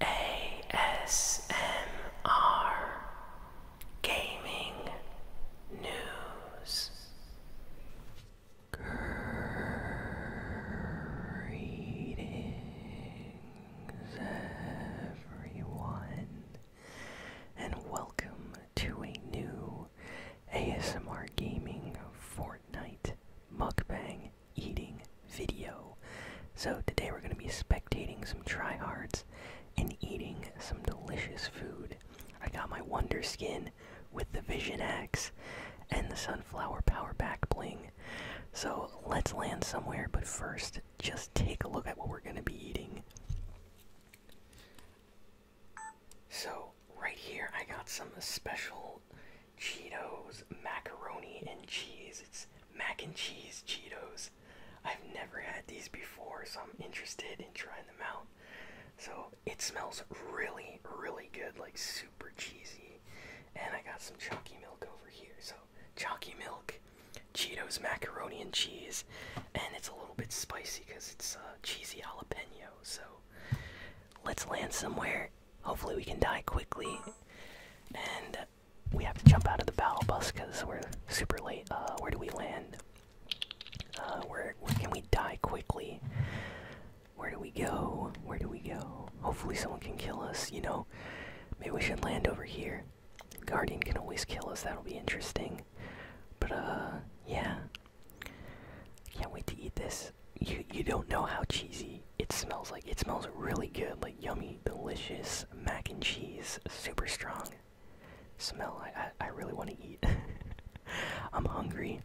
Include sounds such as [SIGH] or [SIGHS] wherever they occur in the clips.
ASMR Gaming News. Greetings, everyone, and welcome to a new ASMR Gaming Fortnite mukbang eating video. So, today we're going to be spectating some tryhards and eating some delicious food. I got my Wonder Skin with the Vision X, and the Sunflower Power Back Bling. So let's land somewhere, but first, just take a look at what we're going to be eating. So, right here, I got some special Cheetos macaroni and cheese. It's mac and cheese Cheetos. I've never had these before, so I'm interested in trying them out. So, it smells really, really good, like super cheesy. And I got some chalky milk over here. So, chalky milk, Cheetos macaroni and cheese, and it's a little bit spicy because it's uh, cheesy jalapeno. So, let's land somewhere. Hopefully, we can die quickly. And we have to jump out of the battle bus because we're super late. Uh, where do we land? Uh, where can we die quickly? Where do we go? Where do we go? Hopefully, someone can kill us, you know? Maybe we should land over here. Guardian can always kill us, that'll be interesting. But, uh, yeah. Can't wait to eat this. You, you don't know how cheesy it smells like. It smells really good, like yummy, delicious mac and cheese. Super strong smell. I, I, I really want to eat. [LAUGHS] I'm hungry.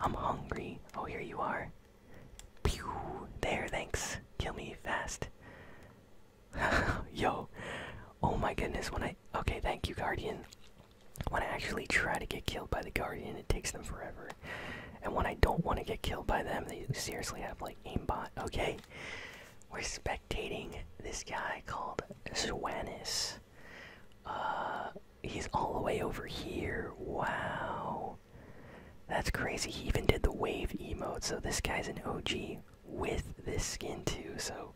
I'm hungry. Oh, here you are. Pew! There, thanks. Kill me fast. [LAUGHS] Yo. Oh my goodness, when I. Okay, thank you, Guardian. When I actually try to get killed by the Guardian, it takes them forever. And when I don't want to get killed by them, they seriously have like aimbot. Okay? We're spectating this guy called Swanis. Uh, he's all the way over here. Wow. That's crazy. He even did the wave emote, so this guy's an OG with this skin too. So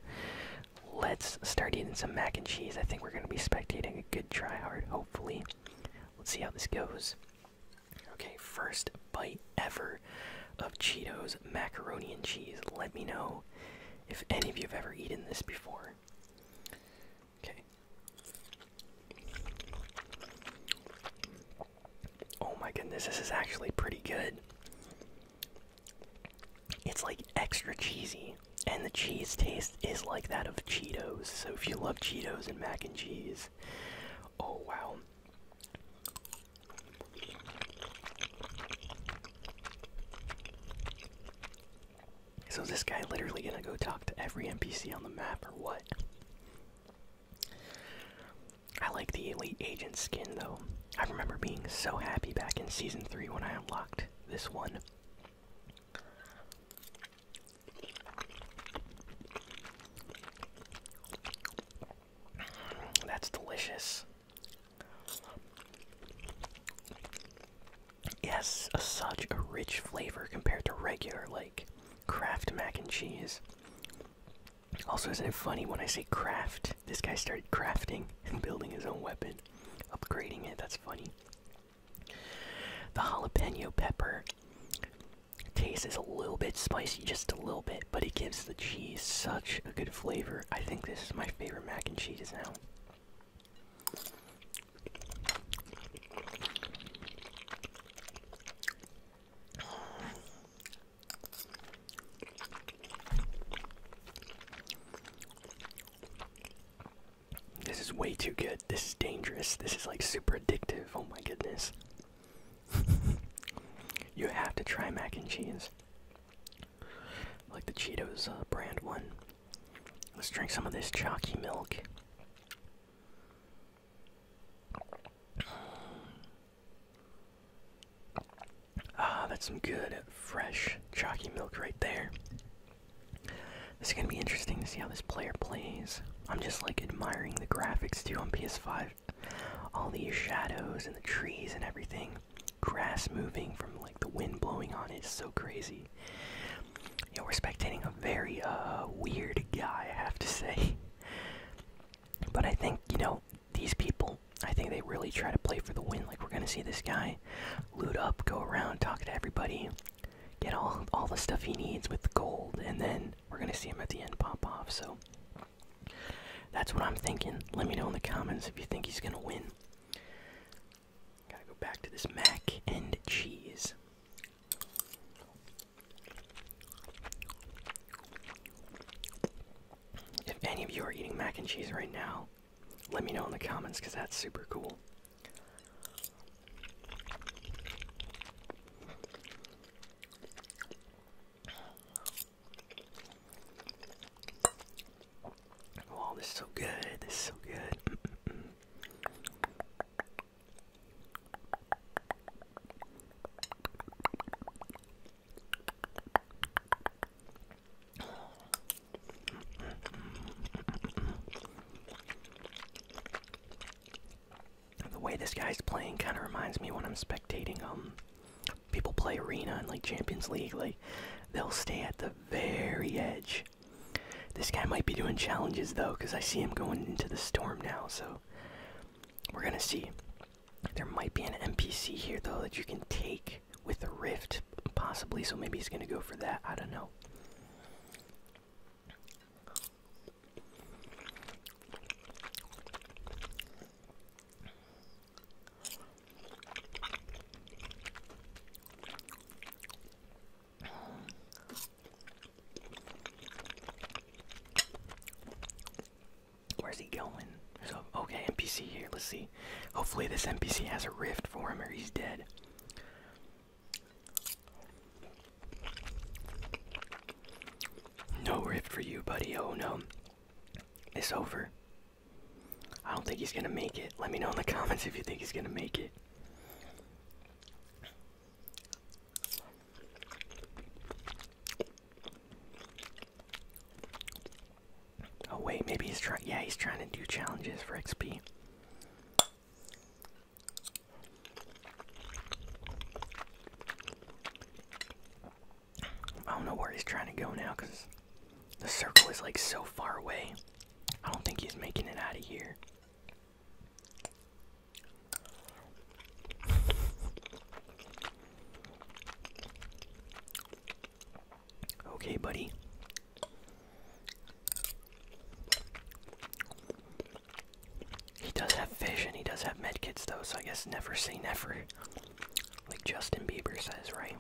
let's start eating some mac and cheese. I think we're going to be spectating a good try hard, hopefully. Let's see how this goes. Okay, first bite ever of Cheetos macaroni and cheese. Let me know if any of you have ever eaten this before. Okay. Oh my goodness, this is actually pretty good. It's like extra cheesy, and the cheese taste is like that of Cheetos. So if you love Cheetos and mac and cheese, oh wow. So this guy literally gonna go talk to every NPC on the map or what? I like the Elite Agent skin though. I remember being so happy back in Season 3 when I unlocked this one. That's delicious. Yes, such a rich flavor compared to regular, like, Kraft mac and cheese. Also, isn't it funny when I say craft? This guy started crafting [LAUGHS] and building his own weapon, upgrading it. That's funny. The jalapeno pepper taste is a little bit spicy, just a little bit, but it gives the cheese such a good flavor. I think this is my favorite mac and cheese now. This is way too good. This is dangerous. This is like super addictive. Oh my goodness. [LAUGHS] you have to try mac and cheese like the Cheetos uh, brand one. Let's drink some of this chalky milk. Ah, that's some good, fresh, chalky milk right there. This is going to be interesting to see how this player plays. I'm just like admiring the graphics too on PS5. All these shadows and the trees and everything grass moving from like the wind blowing on it is so crazy. You know, we're spectating a very uh, weird guy, I have to say. [LAUGHS] But I think, you know, these people, I think they really try to play for the win. Like, we're going to see this guy loot up, go around, talk to everybody, get all, all the stuff he needs with gold, and then we're going to see him at the end pop off. So, that's what I'm thinking. Let me know in the comments if you think he's going to win. Gotta go back to this mac and cheese. If any of you are eating mac and cheese right now, let me know in the comments because that's super cool. Oh, this is so good. This is so good. The way this guy's playing kind of reminds me when I'm spectating him. Um, people play arena and like Champions League, like they'll stay at the very edge. This guy might be doing challenges though, because I see him going into the storm now, so we're gonna see. There might be an NPC here though that you can take with the rift, possibly, so maybe he's gonna go for that. I don't know. Where's he going? So okay, NPC here. Let's see. Hopefully this NPC has a rift for him or he's dead. No rift for you, buddy. Oh no. It's over. I don't think he's gonna make it. Let me know in the [LAUGHS] comments if you think he's gonna make it. Oh wait, maybe he's trying. Yeah, he's trying to do challenges for XP. I don't know where he's trying to go now because the circle is like so far away. I don't think he's making it out of here. Okay, buddy. He does have fish and he does have medkits though, so I guess never say never. Like Justin Bieber says, right?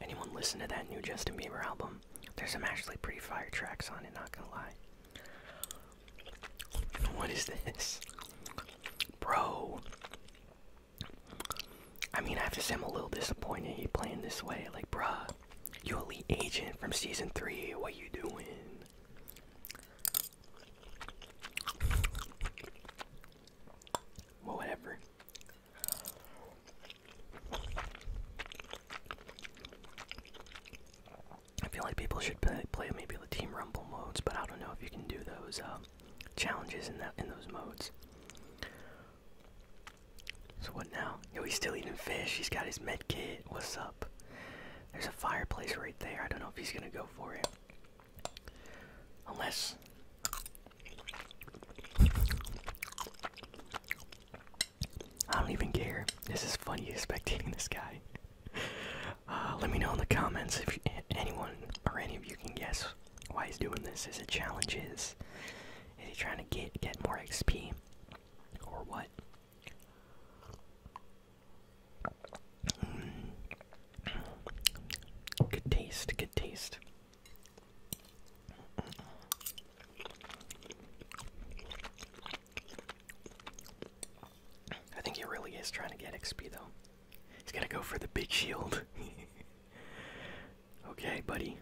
Anyone listen to that new Justin Bieber album? There's some actually pretty fire tracks on it, not gonna lie. What is this? Bro. I mean, I have to say I'm a little disappointed he playing this way. Like, bro, you elite agent from season three, what you doing? whatever. I feel like people should play, maybe the team rumble modes, but I don't know if you can do those um, challenges in that in those modes. So what now? Yo, he's still eating fish. He's got his med kit. What's up? There's a fireplace right there. I don't know if he's gonna go for it. Unless I don't even care. This is funny [LAUGHS] spectating this guy. Uh, let me know in the comments if anyone or any of you can guess why he's doing this. Is it challenges? Is he trying to get get more XP or what? Good taste, good taste. I think he really is trying to get XP though. He's gonna go for the big shield. [LAUGHS] okay, buddy.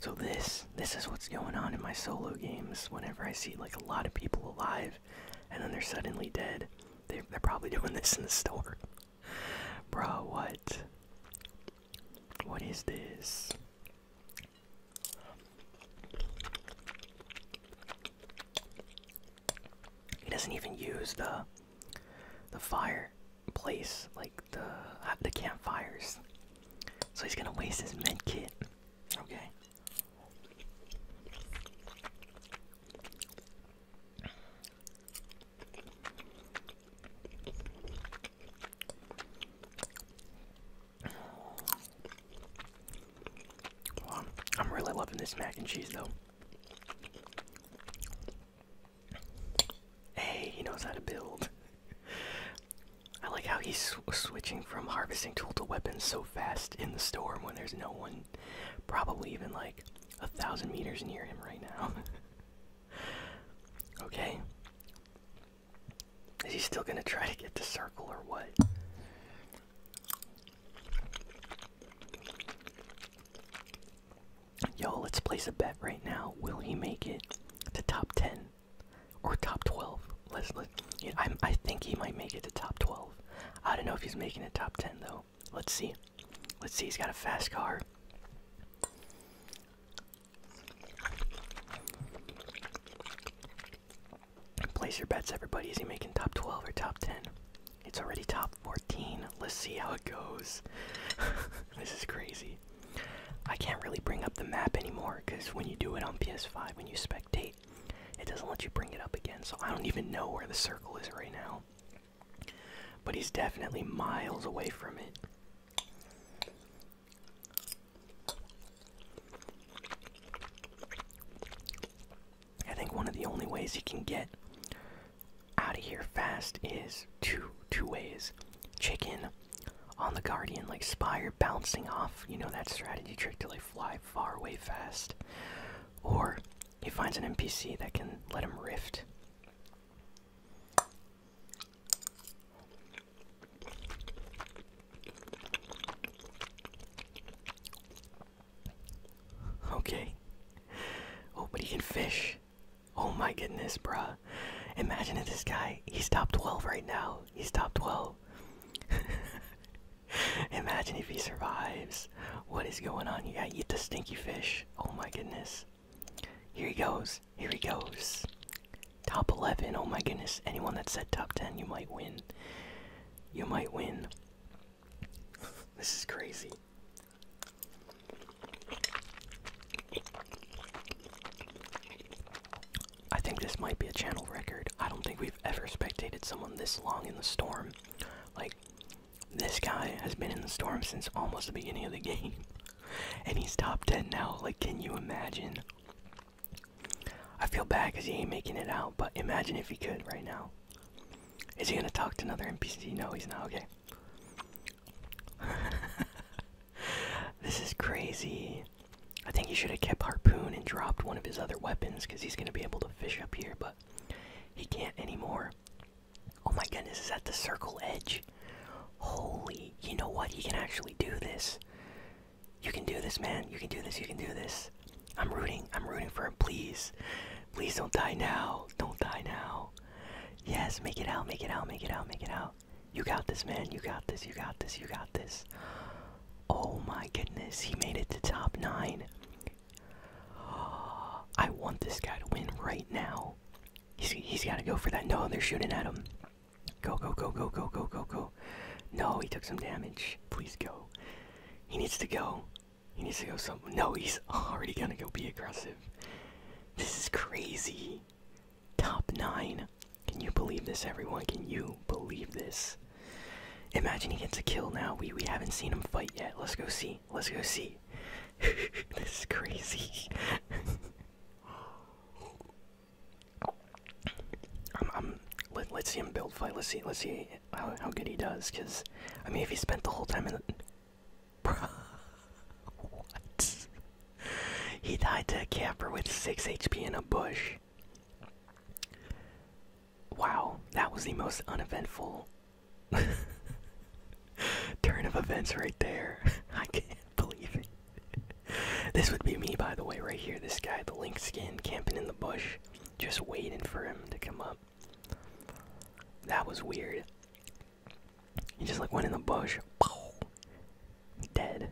So this this is what's going on in my solo games. Whenever I see like a lot of people alive, and then they're suddenly dead, they, are probably [LAUGHS] doing this in the store. Bro, what? What is this? He doesn't even use the the fire place, like the the campfires. So he's gonna waste his med kit. Okay. I'm really loving this mac and cheese though. Hey, he knows how to build. I like how he's switching from harvesting tool to weapons so fast in the storm when there's no one, probably even like a thousand meters near him right now. [LAUGHS] okay. Is he still gonna try to get the circle or what? Yo, let's place a bet right now. Will he make it to top 10 or top 12? Let's let. I'm, I think he might make it to top 12. I don't know if he's making it top 10 though. Let's see. Let's see. He's got a fast car. Place your bets, everybody. Is he making top 12 or top 10? It's already top. 14. Let's see how it goes. [LAUGHS] this is crazy. I can't really bring up the map anymore because when you do it on PS5, when you spectate, it doesn't let you bring it up again. So I don't even know where the circle is right now. But he's definitely miles away from it. I think one of the only ways he can get out of here fast is two two ways. Chicken on the guardian like spire bouncing off, you know that strategy trick to like fly far away fast. Or he finds an NPC that can let him rift. Okay. Oh, but he can fish. Oh my goodness, bruh. Imagine if this guy, he's top 12 right now. He's top 12. [LAUGHS] Imagine if he survives. What is going on? You gotta eat the stinky fish. Oh my goodness. Here he goes. Here he goes. Top 11. Oh my goodness. Anyone that said top 10, you might win. You might win. [LAUGHS] this is crazy. I think this might be a channel record. I don't think we've ever spectated someone this long in the storm. Like, this guy has been in the storm since almost the beginning of the [LAUGHS] game. And he's top 10 now. Like, can you imagine? I feel bad because he ain't making it out, but imagine if he could right now. Is he gonna talk to another NPC? No, he's not. Okay. [LAUGHS] this is crazy. I think he should have kept Harpoon and dropped one of his other weapons because he's going to be able to fish up here, but he can't anymore. Oh my goodness, is that the circle edge? Holy, you know what? He can actually do this. You can do this, man. You can do this. You can do this. I'm rooting. I'm rooting for him. Please. Please don't die now. Don't die now. Yes, make it out, make it out, make it out, make it out. You got this, man. You got this, you got this, you got this. Oh my goodness, he made it to top nine. [GASPS] I want this guy to win right now. he's got to go for that. No, they're shooting at him. Go, go, go, go, go, go, go, go. No, he took some damage. Please go. He needs to go. He needs to go some. No, he's already gonna go be aggressive. This is crazy. Top nine. Can you believe this, everyone? Can you believe this? Imagine he gets a kill now. We we haven't seen him fight yet. Let's go see. Let's go see. [LAUGHS] this is crazy. [LAUGHS] I'm, I'm, let, let's see him build fight. Let's see. Let's see how, how good he does. Cause I mean, if he spent the whole time in the, what? He died to a camper with 6 HP in a bush. Wow, that was the most uneventful [LAUGHS] turn of events right there. [LAUGHS] I can't believe it. this would be me, by the way, right here. This guy, the lynx skin, camping in the bush, just waiting for him to come up. That was weird. He just like went in the bush. Dead.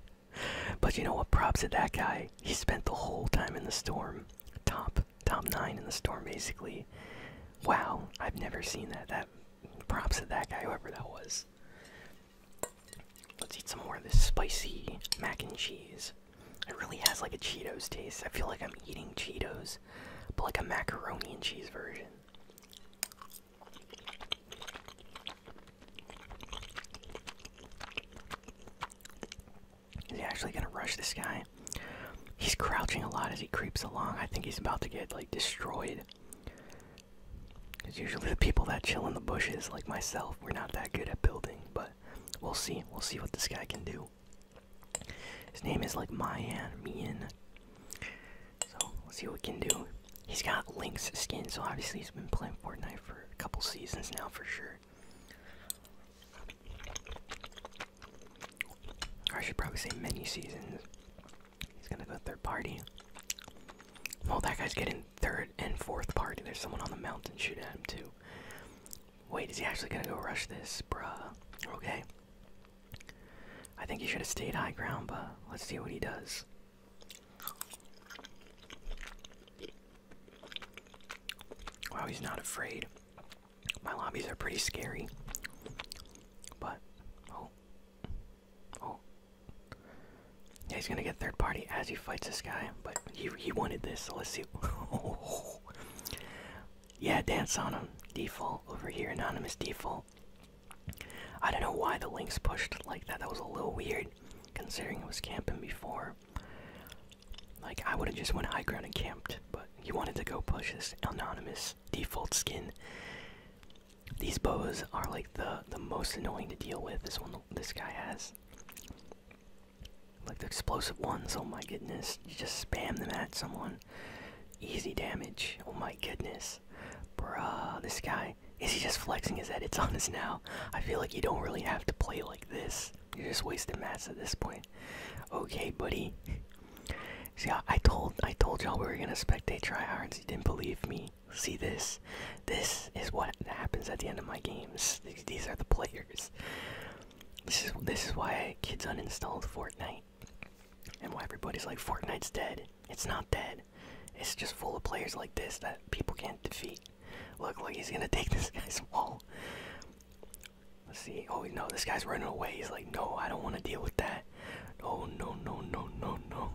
[LAUGHS] but you know what? Props to that guy. He spent the whole time in the storm. Top top nine in the storm basically. Wow, I've never seen that. That props to that guy, whoever that was. Let's eat some more of this spicy mac and cheese. It really has like a Cheetos taste. I feel like I'm eating Cheetos, but like a macaroni and cheese version. Is he actually gonna rush this guy? He's crouching a lot as he creeps along. I think he's about to get like destroyed. Because usually the people that chill in the bushes, like myself, we're not that good at building. But we'll see. We'll see what this guy can do. His name is like Mayan Mian. So let's see what we can do. He's got Link's skin, so obviously he's been playing Fortnite for a couple seasons now for sure. I should probably say many seasons. He's gonna go third party. Well, oh, that guy's getting third and fourth party. There's someone on the mountain shooting at him too. Wait, is he actually gonna go rush this? Bruh. Okay. I think he should have stayed high ground, but let's see what he does. Wow, he's not afraid. My lobbies are pretty scary. But, oh. Oh. Yeah, he's gonna get third party as he fights this guy, but he, he wanted this, so let's see. [LAUGHS] Yeah, dance on him. Default over here, anonymous default. I don't know why the links pushed like that. That was a little weird, considering it was camping before. Like I would have just went high ground and camped, but he wanted to go push this anonymous default skin. These bows are like the the most annoying to deal with. This one, this guy has. Like the explosive ones, oh my goodness. You just spam them at someone. Easy damage, oh my goodness. Bruh, this guy, is he just flexing his edits on us now? I feel like you don't really have to play like this. You're just wasting mats at this point. Okay, buddy. See, I, told I told y'all we were gonna spectate tryhards. You didn't believe me. See this? This is what happens at the end of my games. these are the players. This is this is why kids uninstalled Fortnite, and why everybody's like Fortnite's dead. It's not dead. It's just full of players like this that people can't defeat. Look, look, he's gonna [LAUGHS] take this guy's wall. Let's see. Oh no, this guy's running away. He's like, no, I don't want to deal with that. Oh no, no, no, no, no.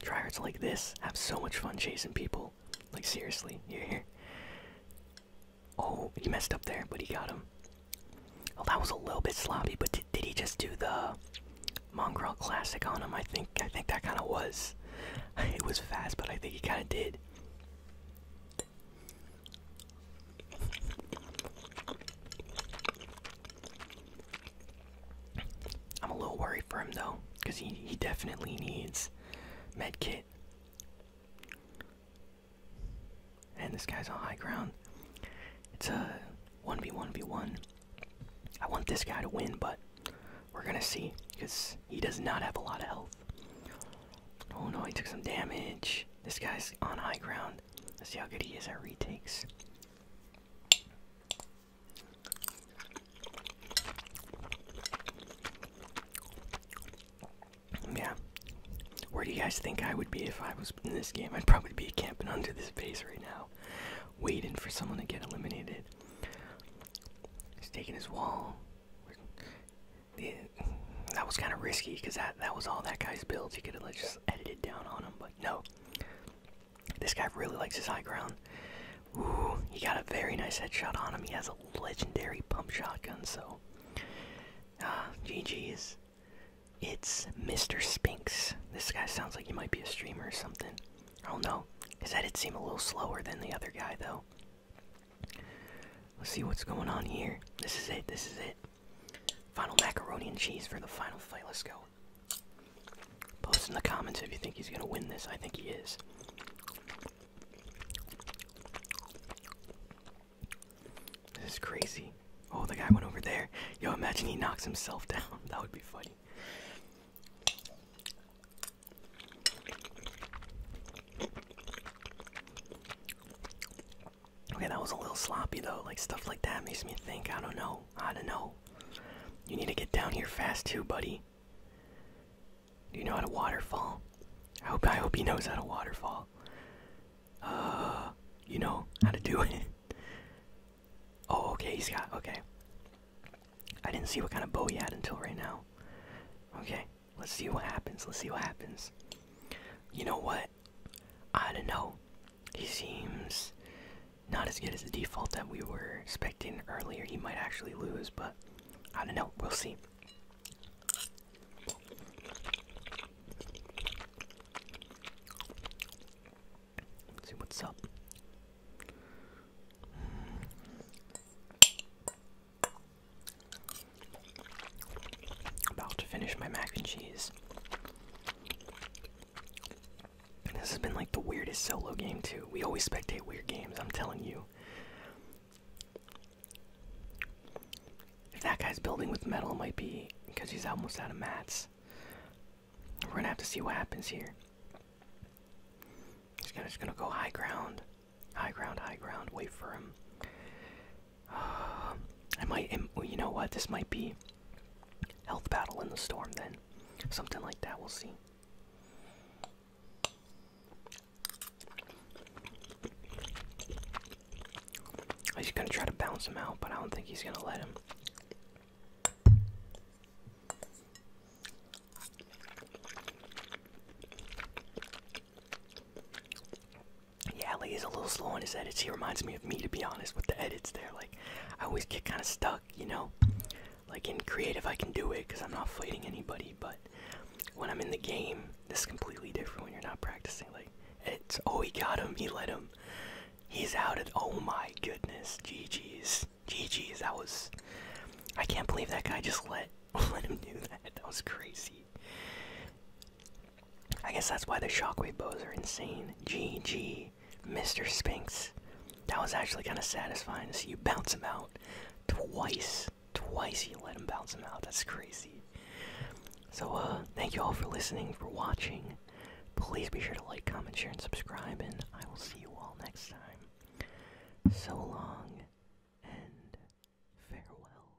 Tryhards like this have so much fun chasing people. Like seriously, you're here. Oh, he messed up there, but he got him. Oh, that was a little bit sloppy, but did, did he just do the Mongrel Classic on him? I think I think that kind of was. [LAUGHS] It was fast, but I think he kind of did. I'm a little worried for him though, because he, he definitely needs medkit. And this guy's on high ground. It's a 1v1v1. I want this guy to win, but we're gonna see, because he does not have a lot of health. Oh no, he took some damage. This guy's on high ground. Let's see how good he is at retakes. Yeah. Where do you guys think I would be if I was in this game? I'd probably be camping under this base right now, waiting for someone to get eliminated. He's his wall. that was kind of risky because that, that was all that guy's build. He could have just edited down on him, but no. This guy really likes his high ground. Ooh, he got a very nice headshot on him. He has a legendary pump shotgun, so. Ah, GG's. It's Mr. Spinks. This guy sounds like he might be a streamer or something. I don't know. His edits seem a little slower than the other guy, though. Let's see what's going on here. This is it. This is it. Final macaroni and cheese for the final fight. Let's go. Post in the comments if you think he's gonna win this. I think he is. This is crazy. Oh, the guy went over there. Yo, imagine he knocks himself [LAUGHS] down. That would be funny. Okay, that was a little sloppy though. Like stuff like that makes me think. I don't know. I don't know. You need to get down here fast too, buddy. Do you know how to waterfall? I hope I hope he knows how to waterfall. Uh, you know how to do [LAUGHS] it. oh, okay, he's got okay. I didn't see what kind of bow he had until right now. Okay, let's see what happens. Let's see what happens. You know what? I don't know he seems not as good as the default that we were expecting earlier. He might actually lose, but I don't know. We'll see. see what's up. About to finish my mac and cheese this has been like the weirdest solo game, too. We always spectate weird games, I'm telling you. If that guy's building with metal, it might be because he's almost out of mats. We're gonna have to see what happens here. He's gonna, just gonna go high ground. High ground, high ground, wait for him. [SIGHS] I might, you know what? This might be health battle in the storm then, something like that. We'll see. He's gonna try to bounce him out, but I don't think he's gonna let him yeah, like is a little slow on his edits. He reminds me of me, to be honest, with the edits there. Like, I always get kind of stuck, you know? Like, in creative, I can do it because I'm not fighting anybody, but when I'm in the game, this is completely different when you're not practicing. Like, it's, oh, he got him, he let him. He's out at, oh my goodness, GG's. GG's, that was, I can't believe that guy just let, [LAUGHS] let him do that. That was crazy. I guess that's why the shockwave bows are insane. GG, Mr. Spinks, That was actually kind of satisfying to see you bounce him out twice. Twice you let him bounce him out. That's crazy. So, uh, thank you all for listening, for watching. Please be sure to like, comment, share, and subscribe, and I will see you all next time. So long and farewell.